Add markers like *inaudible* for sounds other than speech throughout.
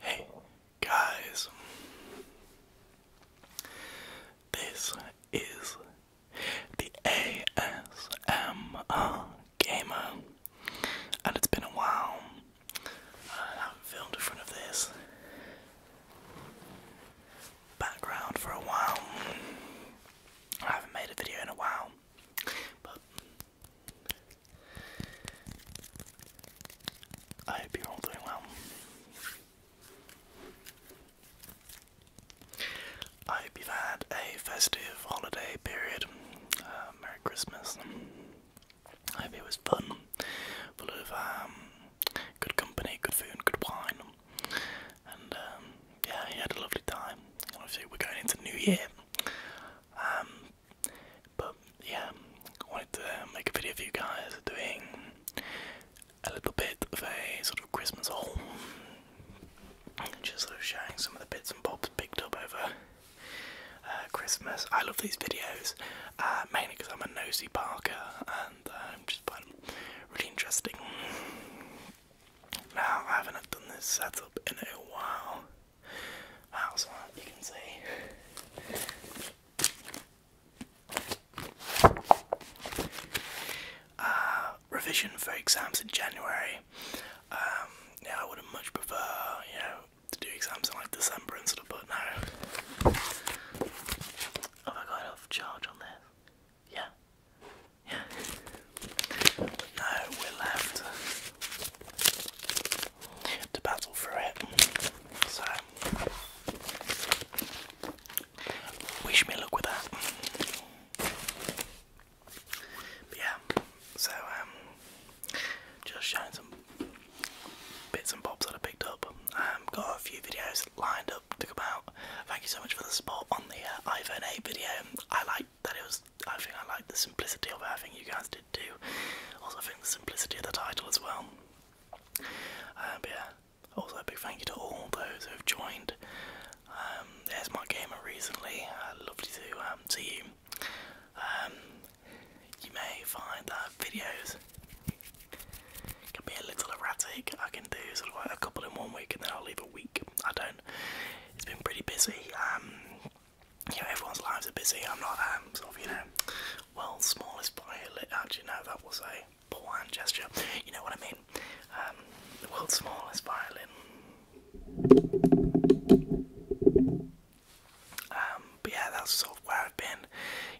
Hey guys, this is the ASMR Gamer, and it's been a while. I haven't filmed in front of this background for a while. I haven't made a video in a while, but I hope you're all doing well. I hope you've had a festive holiday period. Uh, Merry Christmas. I hope it was fun, full of um, good company, good food, good wine. And um, yeah, you had a lovely time. Obviously, we're going into New Year. Um, but yeah, wanted to uh, make a video for you guys doing a little bit of a sort of Christmas haul. Just sort of showing some of the bits and bobs picked up over uh, Christmas. I love these videos, uh, mainly because I'm a nosy Parker and I um, just find them really interesting. Now, I haven't done this setup in a while. Outside, you can see uh, revision for exams in January. Um, yeah, I would have much prefer, you know, to do exams in like December instead of, but now. Have I got off charge on this? Yeah. Yeah. But no, we're left to battle through it. So wish me luck with that. yeah, so um, just showing some bits and bobs that I picked up. Um, got a few videos lined up to come out. Thank you so much for the support on the uh, iPhone 8 video. I like that it was. I think I like the simplicity of it. you guys did too. Also, I think the simplicity of the title as well. Um, yeah. Also, a big thank you to all those who have joined. Um, there's my gamer recently. Uh, lovely to um, see you. Um, you may find that videos can be a little erratic. I can do sort of a couple in one week and then I'll leave a week. I don't. It's been pretty busy. Um, everyone's lives are busy. I'm not um, sort of you know, world's smallest violet. Actually, no, that was a Bouin gesture. You know what I mean? Um, the world's smallest violin. Um, but yeah, that's sort of where I've been.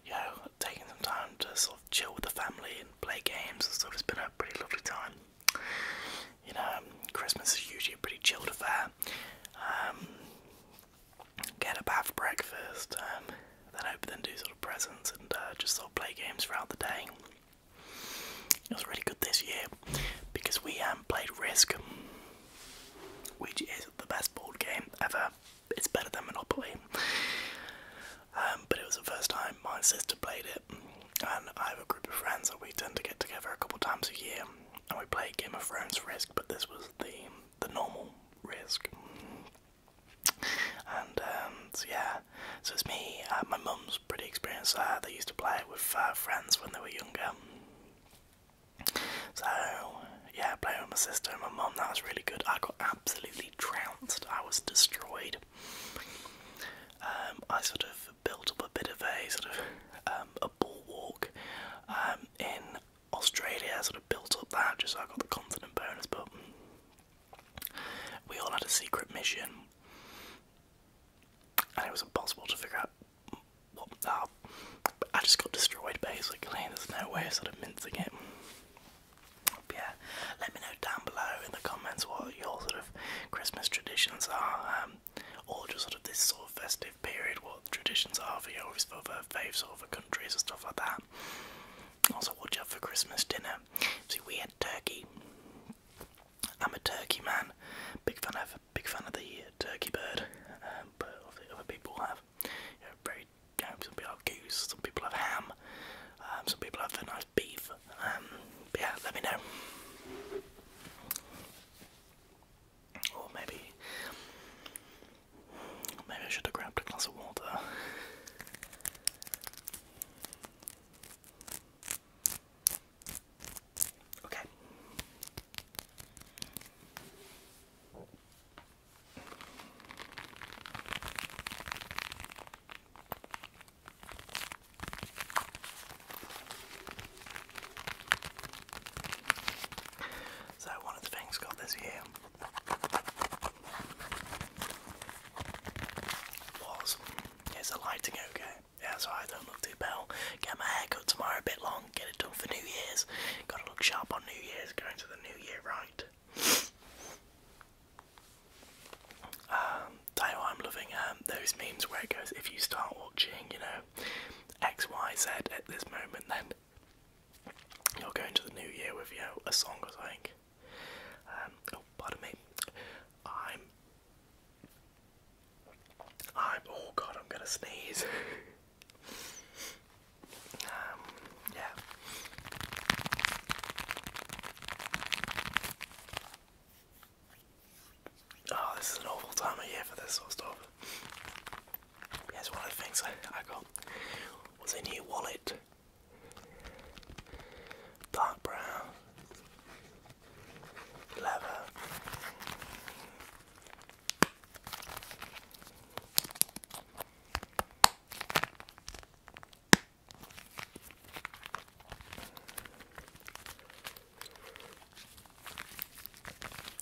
You know, taking some time to sort of chill with the family and play games and stuff. It's been a pretty lovely time. You know, um, Christmas is usually a pretty chilled affair. get a bath breakfast, then open, then do sort little presents and uh, just sort of play games throughout the day. It was really good this year because we um, played Risk, which is the best board game ever. It's better than Monopoly. Um, but it was the first time my sister played it, and I have a group of friends that we tend to get together a couple times a year, and we play Game of Thrones Risk, but this was the the normal Risk. And um, so yeah, so it's me. Uh, my mum's pretty experienced. Uh, they used to play it with uh, friends when they were younger. So yeah, playing with my sister and my mum. That was really good. I got absolutely trounced. I was destroyed. Um, I sort of built up a bit of a sort of um, a bulwark walk in Australia. I sort of built up that just so I got the continent bonus, but we all had a secret mission, and it was impossible to figure out what. Uh, I just got destroyed basically, there's no way of sort of mincing it. But yeah, let me know down below in the comments what your sort of Christmas traditions are, um, or just sort of this sort of festive period, what traditions are for yours, for, for faves, or for countries and stuff like that. Also, watch out for Christmas dinner. See, we had turkey. I'm a turkey man. Big fan of big fan of the turkey bird, um, but other people have you very. some people have goose, some people have ham, um, some people have a nice beef. Um, yeah, let me know. Or maybe, maybe I should have grabbed a glass of water. Okay. So one of the things got this year was. Is the lighting okay? Yeah, so I don't look too pale. Get my hair cut tomorrow, a bit long, get it done for New Year's. Gotta look sharp on New Year's, going to the New Year right. Um, I I'm loving um, those memes where it goes, if you start watching, you know, X, Y, Z at this moment, then you're going to the New Year with, you a song or something. Um, oh, pardon me. I'm. I'm. Oh God, I'm gonna sneeze. *laughs* Um, yeah. Oh, this is an awful time of year for this sort of Yes, one of the things I, I got was a new wallet dark brown, leather.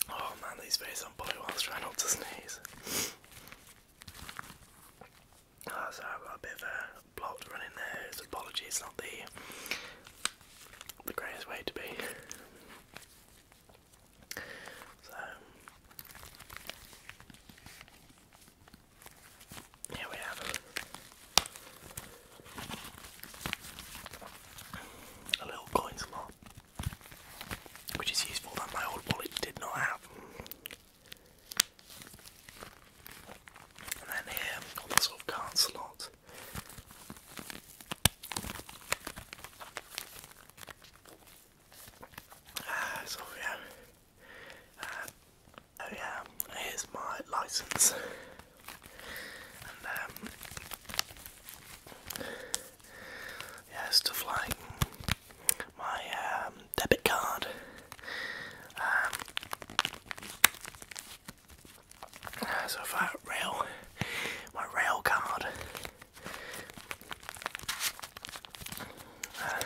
Oh man, these days I'm probably trying not to sneeze. Ah, so I've got a bit of a plot running there. It's not the the greatest way to be. So here we have a little coin slot, which is useful that my old wallet did not have. And then here on the sort of card slot. Ah, so yeah, ah, oh yeah, here's my license, and um, yeah, stuff like my um, debit card. Um, so if rail, my rail card. Uh,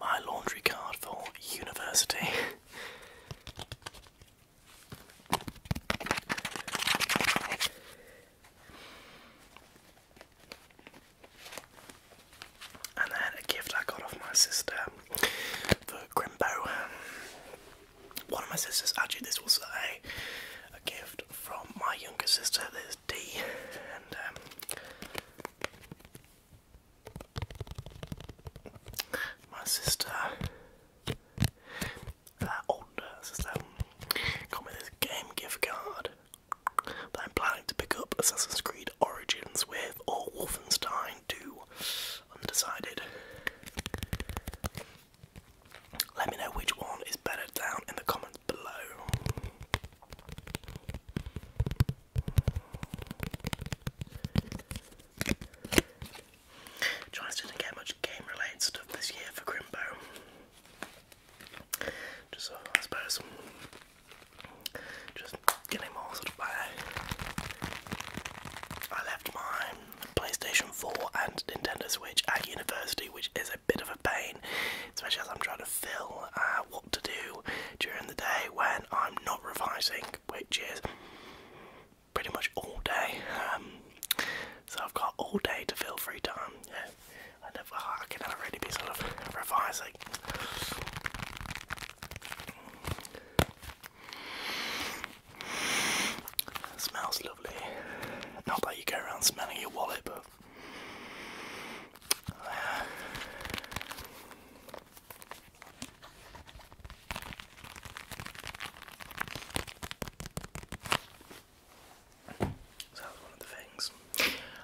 my laundry card for university. And then a gift I got off my sister for Grimbo. One of my sisters, actually, this was a, a gift from my younger sister, there's D, and um, my sister, uh, older sister, got me this game gift card I'm planning to pick up Assassin's Creed Origins with or Wolfenstein 2. Undecided. Let me know which one is better down in the comments below. Trying didn't get much game related stuff this year for Grimbo. Just so uh, I suppose just getting more sort of uh, I left my PlayStation 4 and Nintendo Switch at university, which is a bit of a pain, especially as I'm trying to fill uh, what to do during the day when I'm not revising, which is pretty much all day. Um, so I've got all day to fill free time. I oh, can already be sort of revising. *sighs* smells lovely. Not that you go around smelling your wallet, but. So that was one of the things.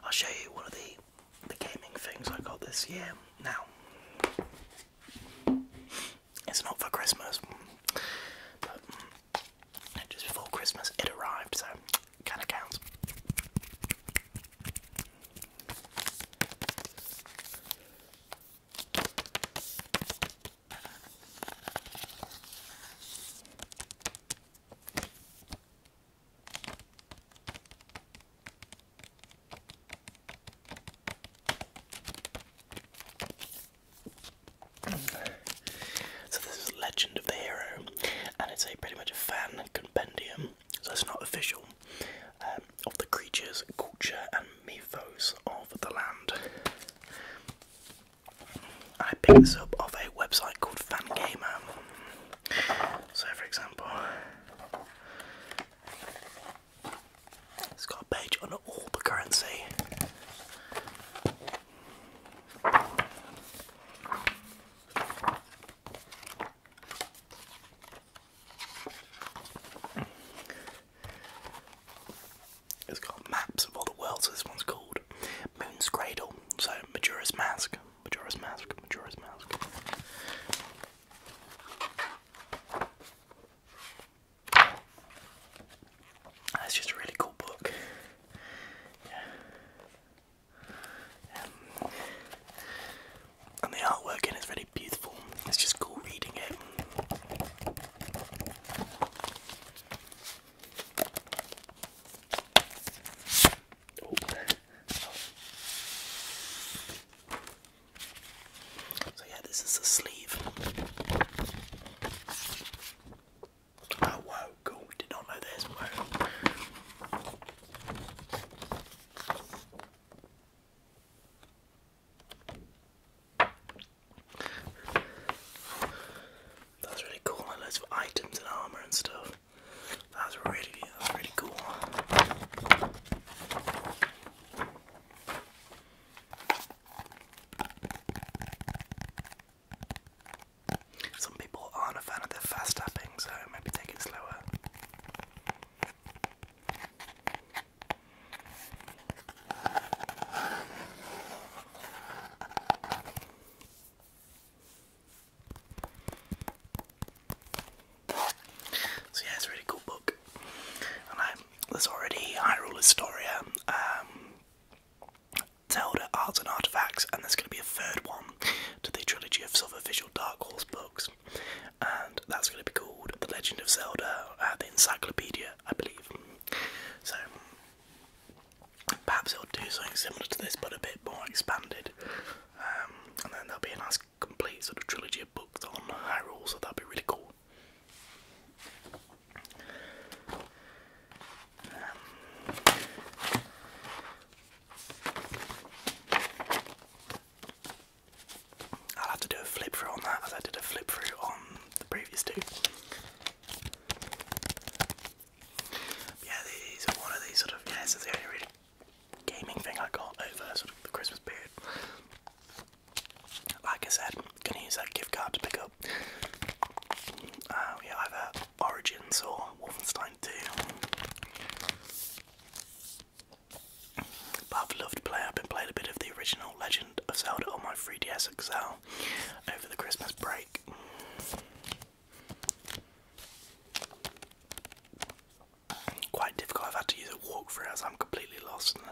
I'll show you one of the the gaming things I got this year. Now, it's not for Christmas, but just before Christmas it arrived, so kind of counts. So this is Legend of the Hero, and it's a pretty much a fan compendium, so it's not official, um, of the creatures, culture, and mythos of the land. I picked this up off a website called Fangamer. So, for example, it's got a page on all the currency. It's got maps of all the worlds, so this one's called Moon's Cradle. So Majora's Mask, Majora's Mask, Majora's Mask. That's just a really cool book. Um, and the artwork in it's really beautiful. It's just cool reading it. Oh. So yeah, this is the sleeve. Oh wow, cool. Did not know this. Wow. That's really cool, and loads of items and armor and stuff. That's really, that's really cool. Some people aren't a fan of the fast tapping, so maybe take it slower. So yeah, it's a really cool book, and I, there's already Hyrule Historia, um, Zelda Arts and Artifacts, and there's going to be a third one to the trilogy of Silver Visual Dark Horse books, and that's going to be called The Legend of Zelda, uh, the Encyclopedia, I believe. So Perhaps it'll do something similar to this, but a bit more expanded. Um, and then there'll be a nice complete sort of trilogy of books on Hyrule, so that'd be really cool. Um, I'll have to do a flip through on that as I did a flip through on the previous two yeah, these are one of these sort of yeah, this the only really gaming thing I got over sort of the Christmas period. Like I said, gonna use that gift card to pick up. Uh, we either Origins or Wolfenstein 2. But I've loved playing. I've been playing a bit of the original Legend of Zelda on my 3DS XL over the Christmas break. Quite difficult. I've had to use a walk walkthrough as I'm completely lost. And,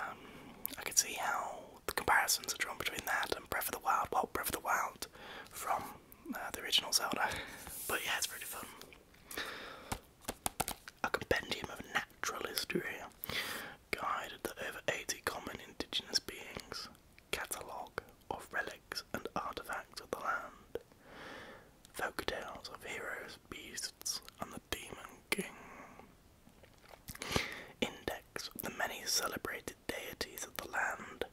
um, I can see how the comparisons are drawn between that and Breath of the Wild. Well, Breath of the Wild from uh, the original Zelda. But yeah, it's pretty fun. A compendium of natural history guided that over 80 common indigenous beings catalogue of relics and artifacts of the land, folk tales of heroes, beasts, and the demon king, index of the many celebrated deities of the land,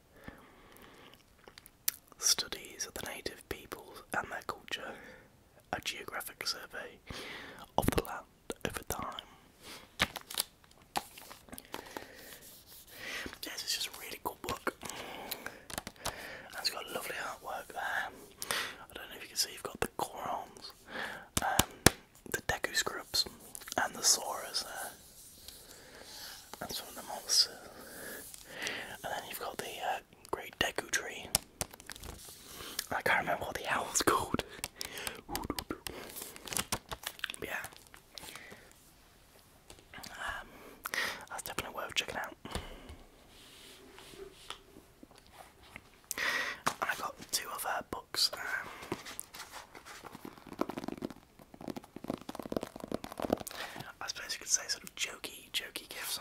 studies of the native peoples and their culture, a geographic survey of the land over time. Yes, it's just a really cool book. And it's got lovely artwork there. I don't know if you can see, you've got the Gorons, um, the Deku groups, and the Saurus there. And some of the monsters. And then you've got the uh, Great decu Tree. I can't remember what the owl's called. *laughs* yeah. Um, that's definitely worth checking out. I got two of her books. Um, I suppose you could say sort of jokey, jokey gifts.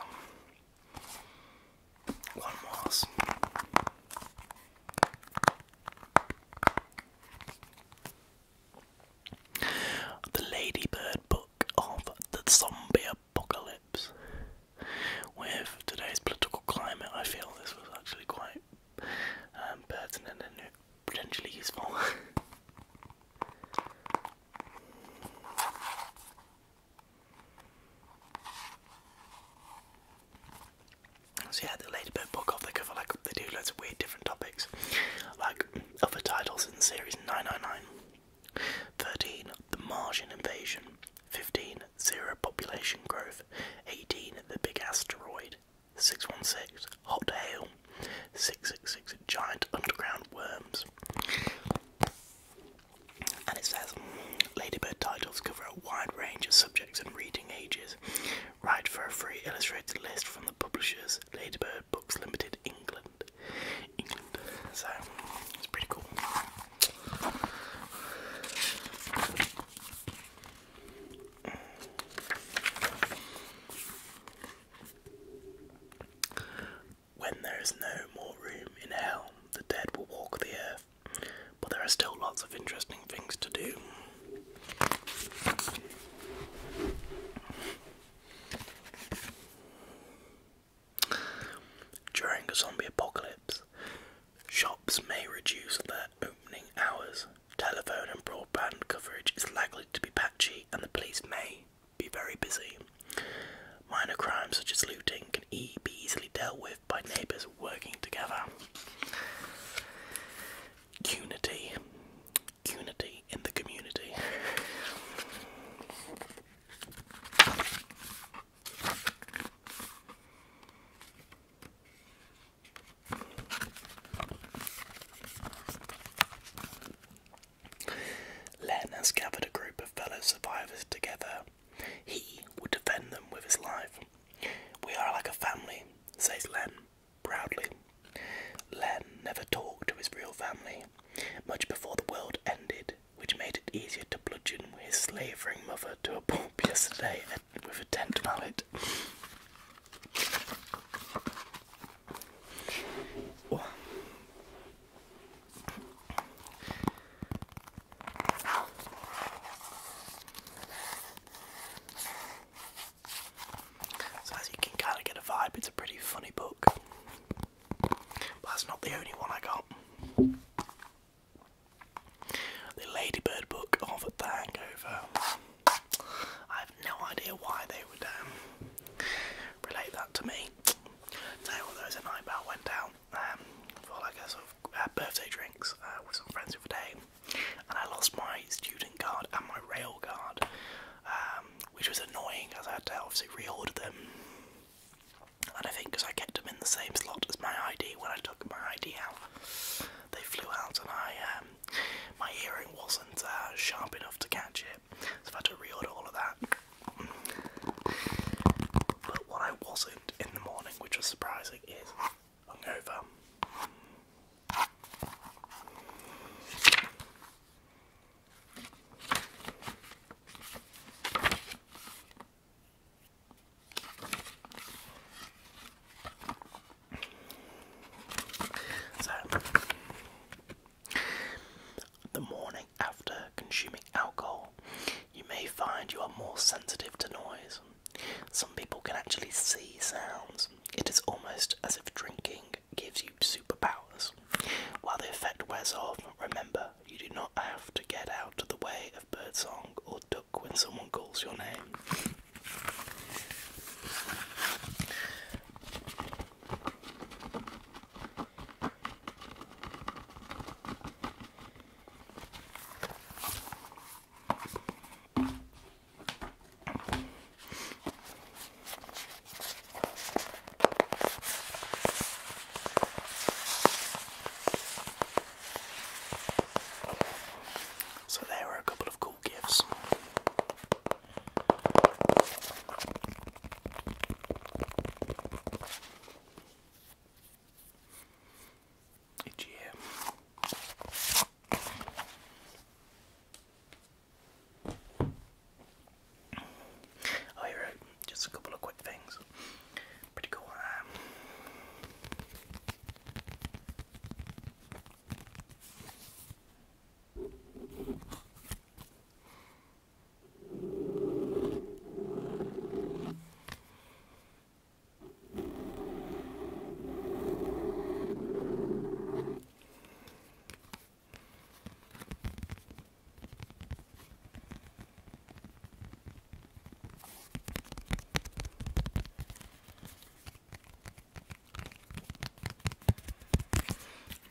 One was the Ladybird Book of the Zombie Apocalypse. With today's political climate, I feel this was actually quite um, pertinent and potentially useful. *laughs* So yeah, the Ladybird book off the cover, like they do loads of weird different topics, like other titles in the series: 999, 13, the Martian invasion, 15, zero population growth, 18, the big asteroid, 616, hot hail, 666, giant underground worms. And it says Ladybird titles cover a wide range of subjects and reading ages, Write for a free illustrated list from the publishers, Ladybird Books Limited, England. England. So, it's pretty cool. When there is no more room in hell, the dead will walk the earth but there are still lots of interesting things to do. During a zombie apocalypse, shops may reduce their opening hours. Telephone and broadband coverage is likely to be patchy, and the police may be very busy. Minor crimes such as looting can e be easily dealt with by neighbours working together. Unity. Unity in the community. Len has gathered a group of fellow survivors together. He would defend them with his life. We are like a family, says Len proudly. Len never talked to his real family, much before the world ended, which made it easier to bludgeon his slavering mother to a pulp *laughs* yesterday with a tent mallet. So as you can kind of get a vibe, it's a pretty funny book. But that's not the only one I got. The Ladybird book of The Hangover. I have no idea why they would um, relate that to me. Tell you what, night I went out um, for like a sort of uh, birthday drinks uh, with some friends the other day, and I lost my student card and my rail card, um, which was annoying as I had to obviously reorder them. And I think because I kept them in the same slot as my ID when I took my ID out, they flew out, and I um, my hearing wasn't uh, sharp enough to catch it, so I had to reorder all of that. But what I wasn't in the morning, which was surprising, is hungover. So, the morning after consuming alcohol, you may find you are more sensitive to noise. Some people can actually see sounds. It is almost as if drinking gives you superpowers. While the effect wears off, remember you do not have to get out of the way of birdsong or duck when someone calls your name. So, there were a couple of cool gifts each year. Oh, here, just a couple of quick things. Pretty cool. Um,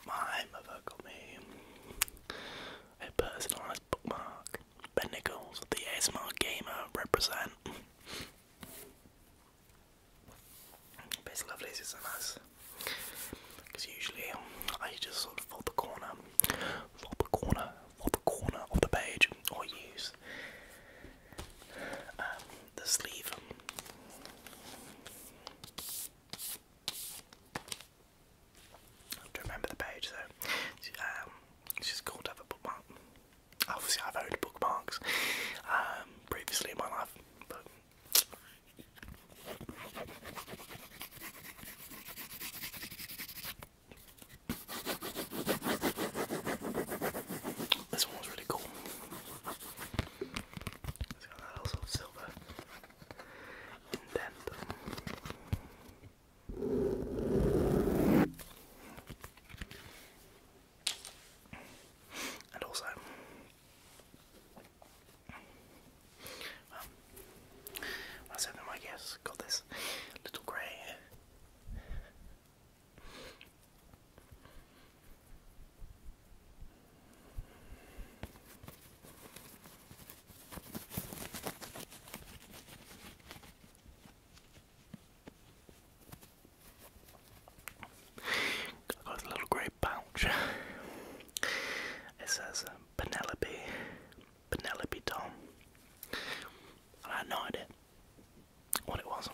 my mother got me a personalized bookmark Ben Nichols, the ASMR gamer, uh, represent. Base lovelies is a nice. Because usually um, I just sort of fold the corner, fold the corner, fold the corner of the page, or use um, the sleeve. to remember the page though. it's um, just cool have a bookmark. Obviously, I've owned bookmarks um, previously in my life, but. This one was really cool. It's got that little silver indent. And also, well, um, I was my guess got this little grey I got this little grey pouch. it says uh, Penelope, Penelope Tom. And I had no idea what it was.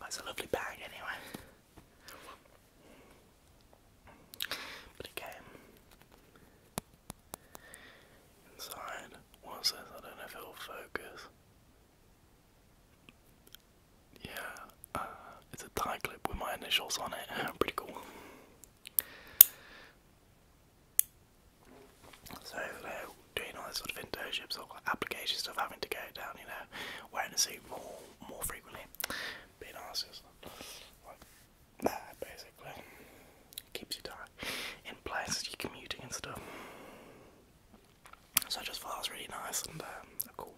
That's a lovely bag anyway. But it came inside. What's this? I don't know if it'll focus. Yeah, uh, it's a tie clip with my initials on it. *laughs* Pretty cool. So, uh, doing all this sort of internships or application stuff, having to go down, you know, wearing a suit more more frequently, being arsed, like that basically keeps you tight in place, you're commuting and stuff. So just thought really nice and um, cool.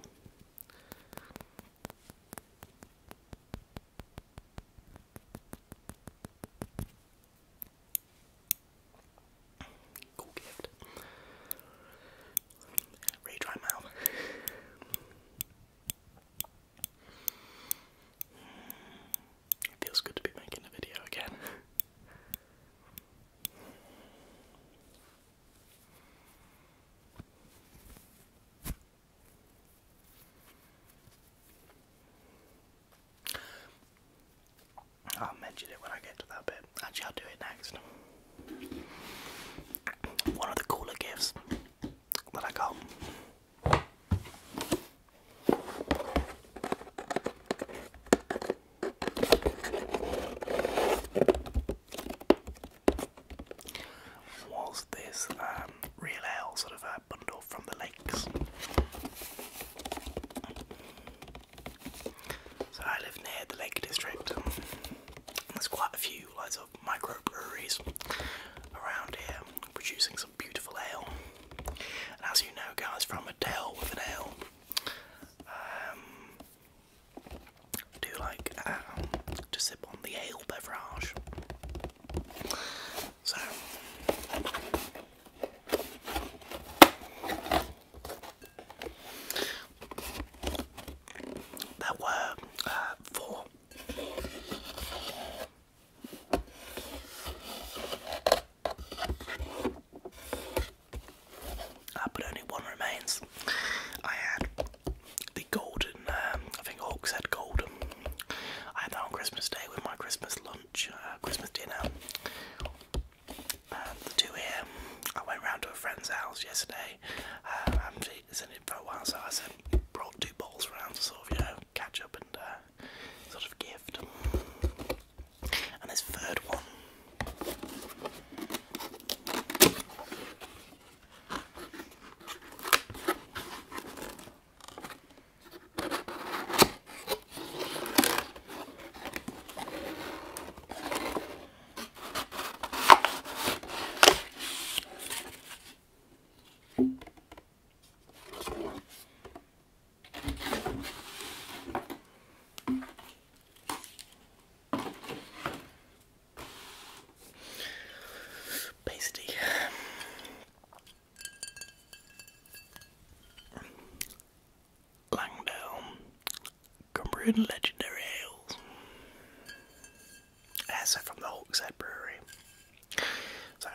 Cool gift. Really dry mouth. It feels good to be making a video again. I'll mention it when I get to that bit. Actually, I'll do it next. One of the cooler gifts that I got was this um, sort of bundle from the lakes. So I live near the Lake District. And there's quite a few lots of microbreweries around here producing some beautiful ale. And as you know guys from a Dale with an ale um do like um, to sip on the ale beverage. So there were uh, four. but only one remains. I had the golden, um, I think Hawks had golden. I had that on Christmas Day with my Christmas lunch, uh, Christmas dinner. And um, the two here, I went round to a friend's house yesterday. Um, I haven't seen him for a while, so I sent, brought two balls round to sort of, you know, catch up and uh, sort of gift. And this third one. Pasty. Langdale, Cumbrian Legendary Ales. That's ah, from the Hawkshead Brewery. So,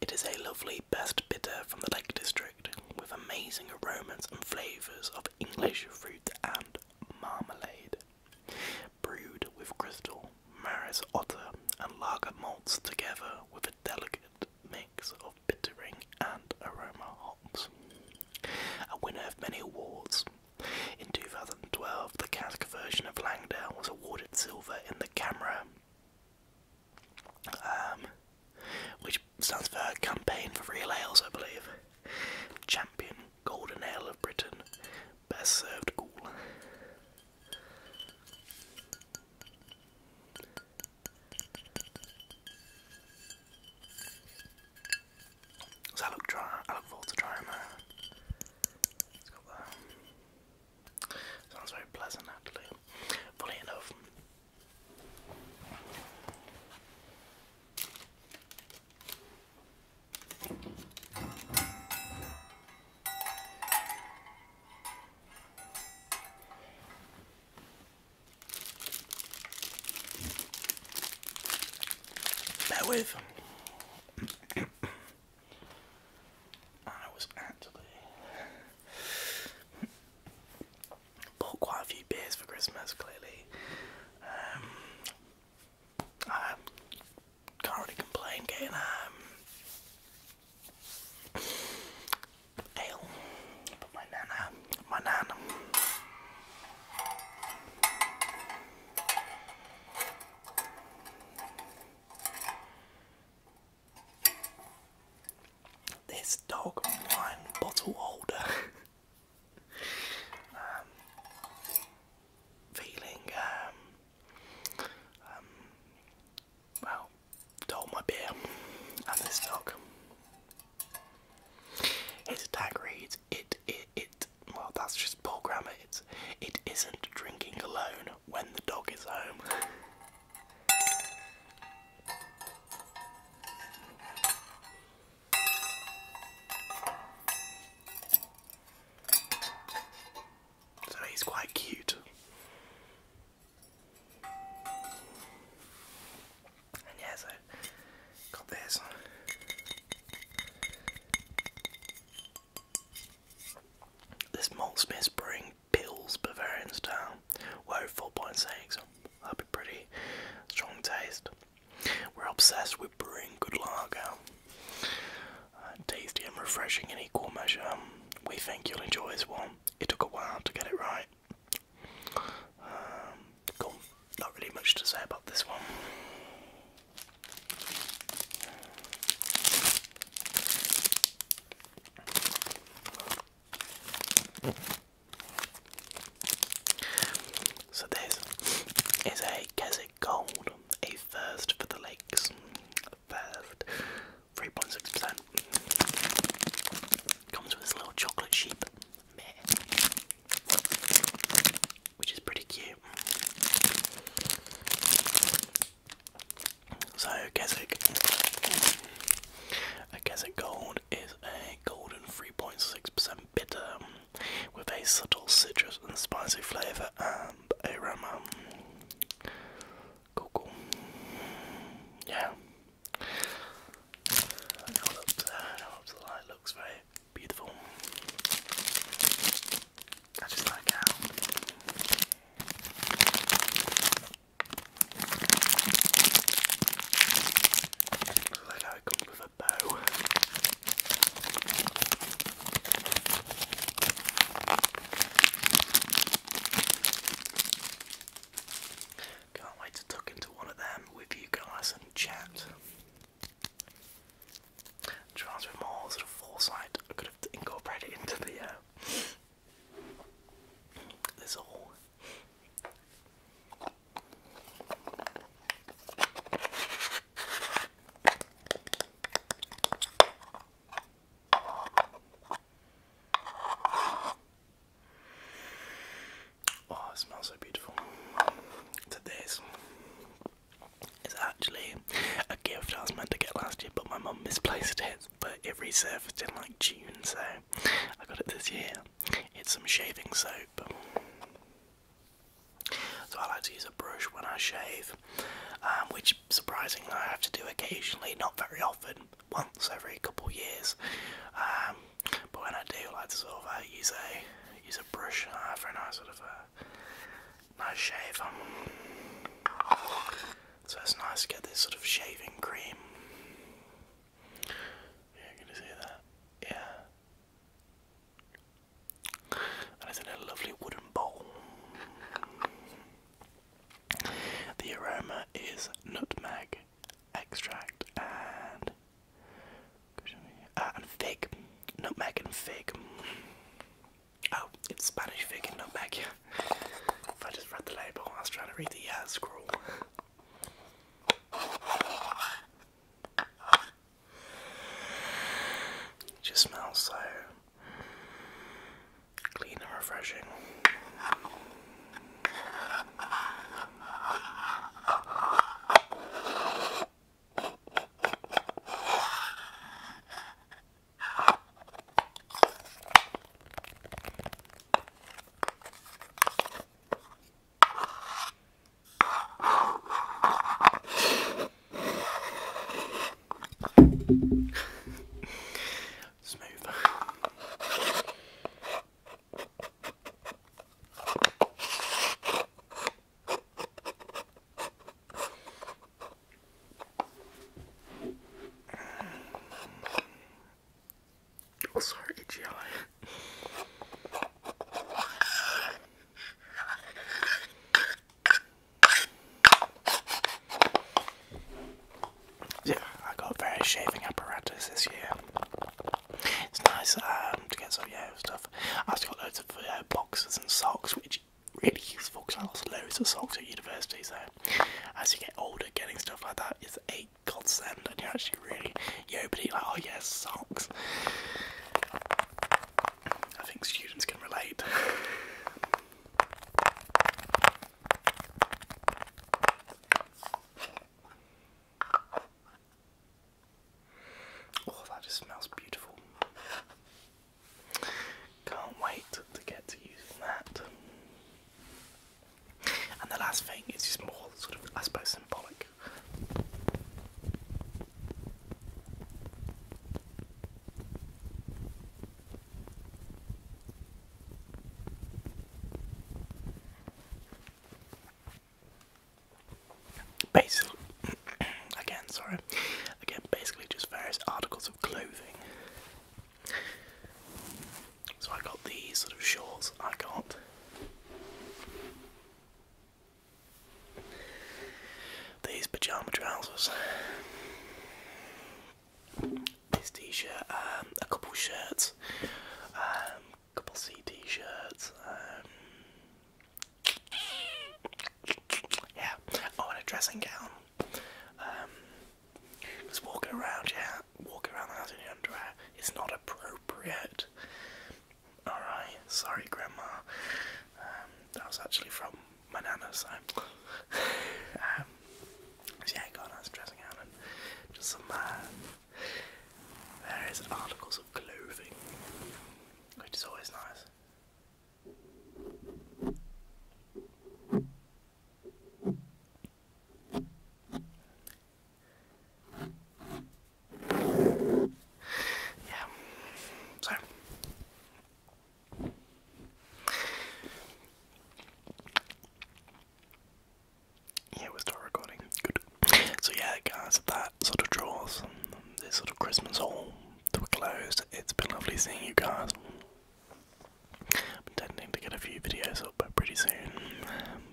it is a lovely best bitter from the Lake District with amazing aromas and flavours of English fruit and marmalade. Brewed with crystal, maris otter, and lager malts together with a delicate mix of bittering and aroma hops. A winner of many awards. In 2012, the cask version of Langdale was awarded silver in the Camera, um, which stands for Campaign for Real Ales, I believe. Champion Golden Ale of Britain, best served cool. So I look try I look forward It's got that. Sounds very pleasant actually. Funny enough. Bear with. I was actually bought quite a few beers for Christmas. Clearly, um, I can't really complain. Getting um, Ale. my nana, my nana. This dog wine bottle holder. *laughs* Um, feeling, um, um well, to hold my beer and this dog. His tag reads, it, it, it, well that's just poor grammar, it's, it isn't drinking alone when the dog is home. So he's quite cute. And yeah, so got this on. This Maltsmith's Brewing Pills Bavarian Style. Whoa, 4.6. that six. That'll be pretty strong taste. We're obsessed with brewing good lager. Uh, tasty and refreshing in equal measure. We think you'll enjoy this one. It took a while to get it right. Um, not really much to say about this one. So this is a Keswick Gold, a first for the lakes. First 3.6%. Comes with this little chocolate sheep, which is pretty cute. So Keswick, a Keswick Gold is a golden 3.6% bitter with a subtle citrus and spicy flavour and aroma. Cool, cool. Yeah. And now the light looks very beautiful. I just like how I like how with a bow. Can't wait to tuck into one of them with you guys and chat. Trying more sort of foresight, I could have incorporated into the uh, this all. Oh, it smells so beautiful. So is actually a gift I was meant to get last year, but my mum misplaced it. But it resurfaced in like June, so I got it this year. It's some shaving soap. So I like to use a brush when I shave, um, which surprisingly I have to do occasionally, not very often once every couple years. Um, but when I do, like to sort of uh, use a use a brush uh, for a nice sort of a uh, nice shave. So it's nice to get this sort of shaving cream. Yeah, can you see that? Yeah. And it's in a lovely wooden bowl. The aroma is nutmeg extract ah, and fig, nutmeg and fig. Oh, it's Spanish fig and nutmeg. if I just read the label, I was trying to read the uh, scroll. It just smells so Clean and refreshing smooth. Oh, sorry, itchy yeah, I got various shaving apparatus this year. It's nice um, to get some yeah stuff. I have got loads of uh, boxes and socks, which are really useful because I lost loads of socks at university. So as you get older, getting stuff like that is a godsend, and you're actually really yo, like oh yes, socks. I think students can relate. Oh, that just smells beautiful. Can't wait to get to using that. And the last thing is just more sort of, I suppose, symbolic. Basically, *clears throat* again, sorry, again, basically just various articles of clothing. So I got these sort of shorts, I got these pajama trousers this t-shirt, um, a couple shirts, um, um, a couple CD shirts, yeah, oh and a dressing gown, just walking around, yeah, walking around the house in underwear, it's not appropriate, alright, sorry grandma, that was actually from my nana, um, yeah, God, I dressing out and just some uh, various articles of clothing, which is always nice. Yeah, so yeah, we're still recording. Good. So yeah, guys, that sort of draws this sort of Christmas haul to a close. It's been lovely seeing you guys. I'm intending to get a few videos up pretty soon.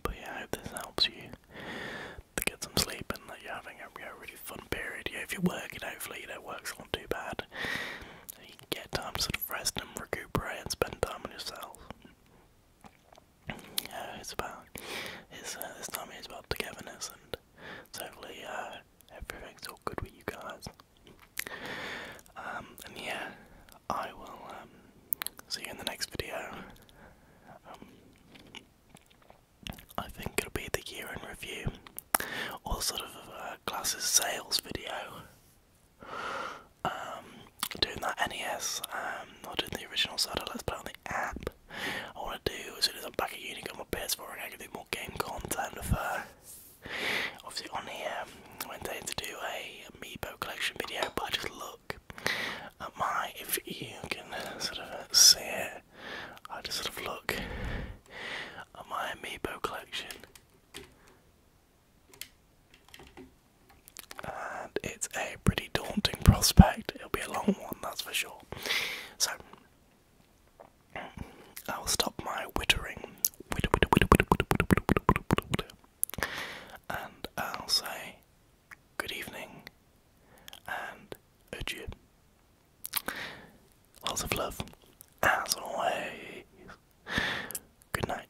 But yeah, I hope this helps you to get some sleep and that you're having a, really fun period. Yeah, if you're working, hopefully you don't know, work's not too bad. You get time to rest and recuperate and spend time on yourself. Uh, it's about it's uh, this it's about togetherness and hopefully uh, everything's all good with you guys. Um, and yeah, I will um, see you in the next video. Um, I think it'll be the year in review, or sort of. Uh, uh, classes sales video, um, doing that NES, um, or doing the original side of Let's Play on the app. I want to do as soon as I'm back at uni, got my PS4 and I can do more game content. Of, uh, obviously, on here, I went in to do a Amiibo collection video, but I just look at my, if you can sort of see it, I just sort of look at my Amiibo collection. And it's a pretty daunting prospect. It'll be a long one, that's for sure. So, I'll stop my whittering, And I'll say good evening and adieu. Lots of love, as always. Good night.